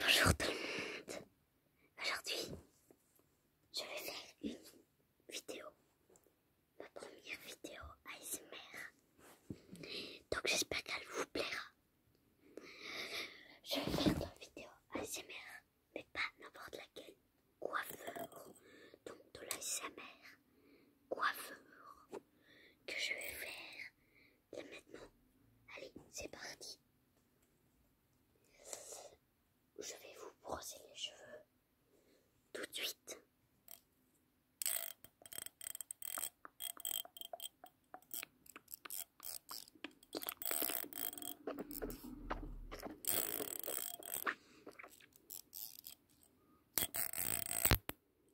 Bonjour tout le monde. Aujourd'hui, je vais faire une vidéo, ma première vidéo ASMR. Donc j'espère qu'elle vous plaira. Je vais faire une vidéo ASMR, mais pas n'importe laquelle. Coiffeur, donc de l'ASMR, coiffeur que je vais faire maintenant, allez, c'est parti. Je vais vous brosser les cheveux tout de suite.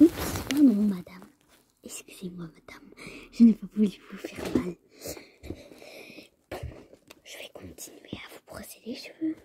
Oups, pardon ah, madame. Excusez-moi madame, je n'ai pas voulu vous faire mal. je vais continuer à vous brosser les cheveux.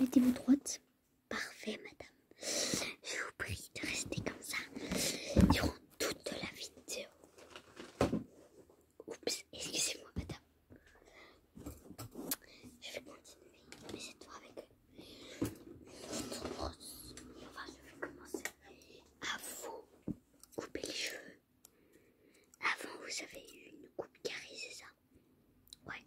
Mettez-vous droite. Parfait, madame. Je vous prie de rester comme ça durant toute la vidéo. Oups, excusez-moi, madame. Je vais continuer, mais cette fois avec eux. je vais commencer à vous couper les cheveux. Avant, vous avez eu une coupe carrée, c'est ça Ouais.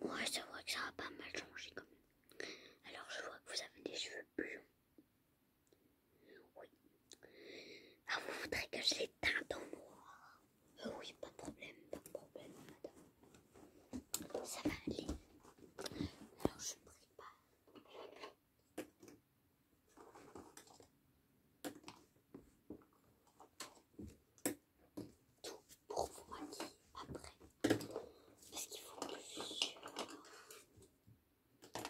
Ouais, c'est vrai que ça a pas mal changé quand même. Alors, je vois que vous avez des cheveux blonds. Oui. Ah, vous voudrez que je les teinte en noir euh, Oui, pas de problème, pas de problème, madame. Ça va aller. Alors, je prépare tout pour vous après. après. Parce qu'il faut je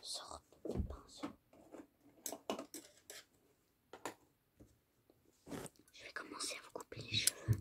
sorte des pinceaux. Je vais commencer à vous couper les cheveux.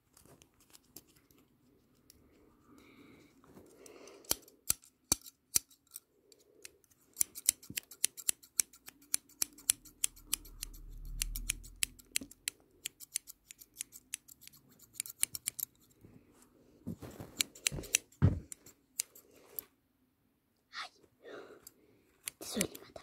はいそれでまた。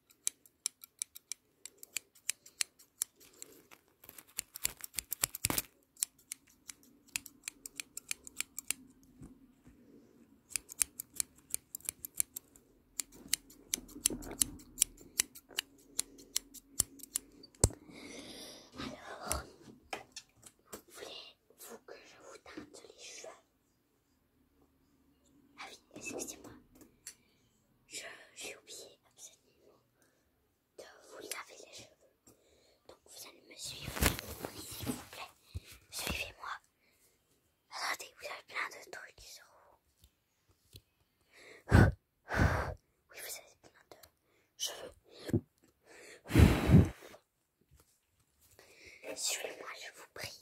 alors voulez-vous que je vous teinte les cheveux Ah oui, excusez-moi. J'ai oublié absolument de vous laver les cheveux. Donc vous allez me suivre. S'il vous plaît, suivez-moi. attendez, vous avez plein de trucs sur vous. Oui, vous avez plein de cheveux. Suivez-moi, je vous prie.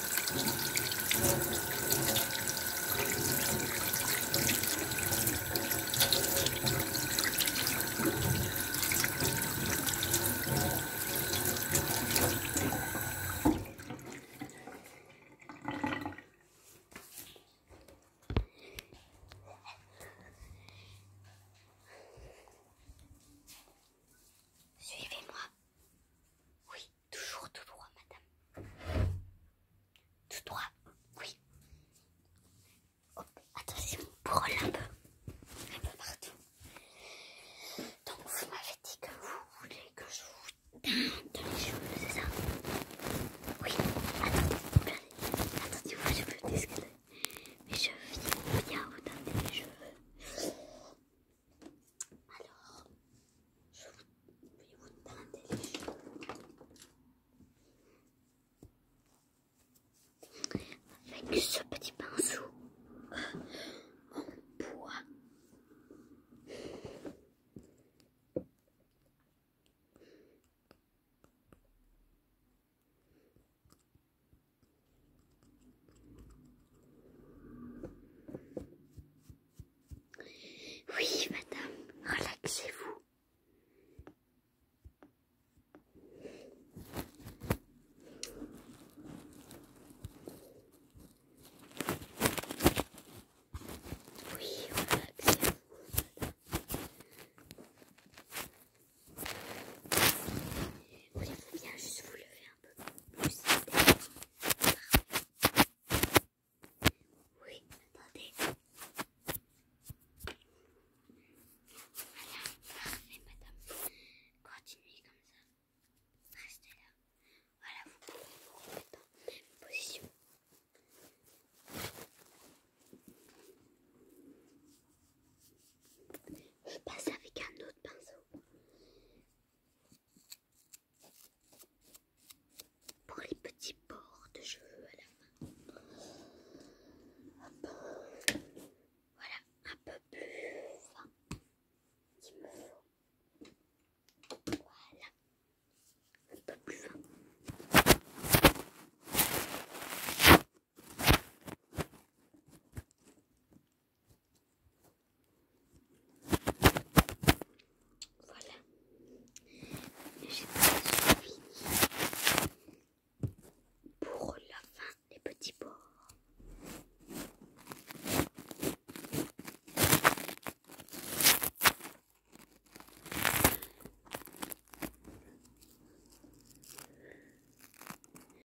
Suivez-moi. Oui, toujours tout droit, madame. Tout droit, oui. Hop, attention, brûle un peu. Un peu partout. Donc, vous m'avez dit que vous voulez que je vous donne les cheveux, c'est ça Oui, attendez, attention, Attendez, moi je peux discuter. Mais je viens vous donner les cheveux. Alors, je vais vous teinter les cheveux avec ce petit pinceau en bois. Oui, madame, relaxez-vous. Oui, relaxez-vous. Voulez-vous bien juste vous lever un peu plus Oui, attendez. Voilà, parfait madame. Continuez comme ça. Restez là. Voilà, vous pouvez vous remettre en même position. Je passe avec un autre pinceau pour les petits bords de cheveux à la fin, Voilà, un peu plus fin qu'il me faut. Voilà, un peu plus voilà. J'ai pas fini pour la fin des petits bords.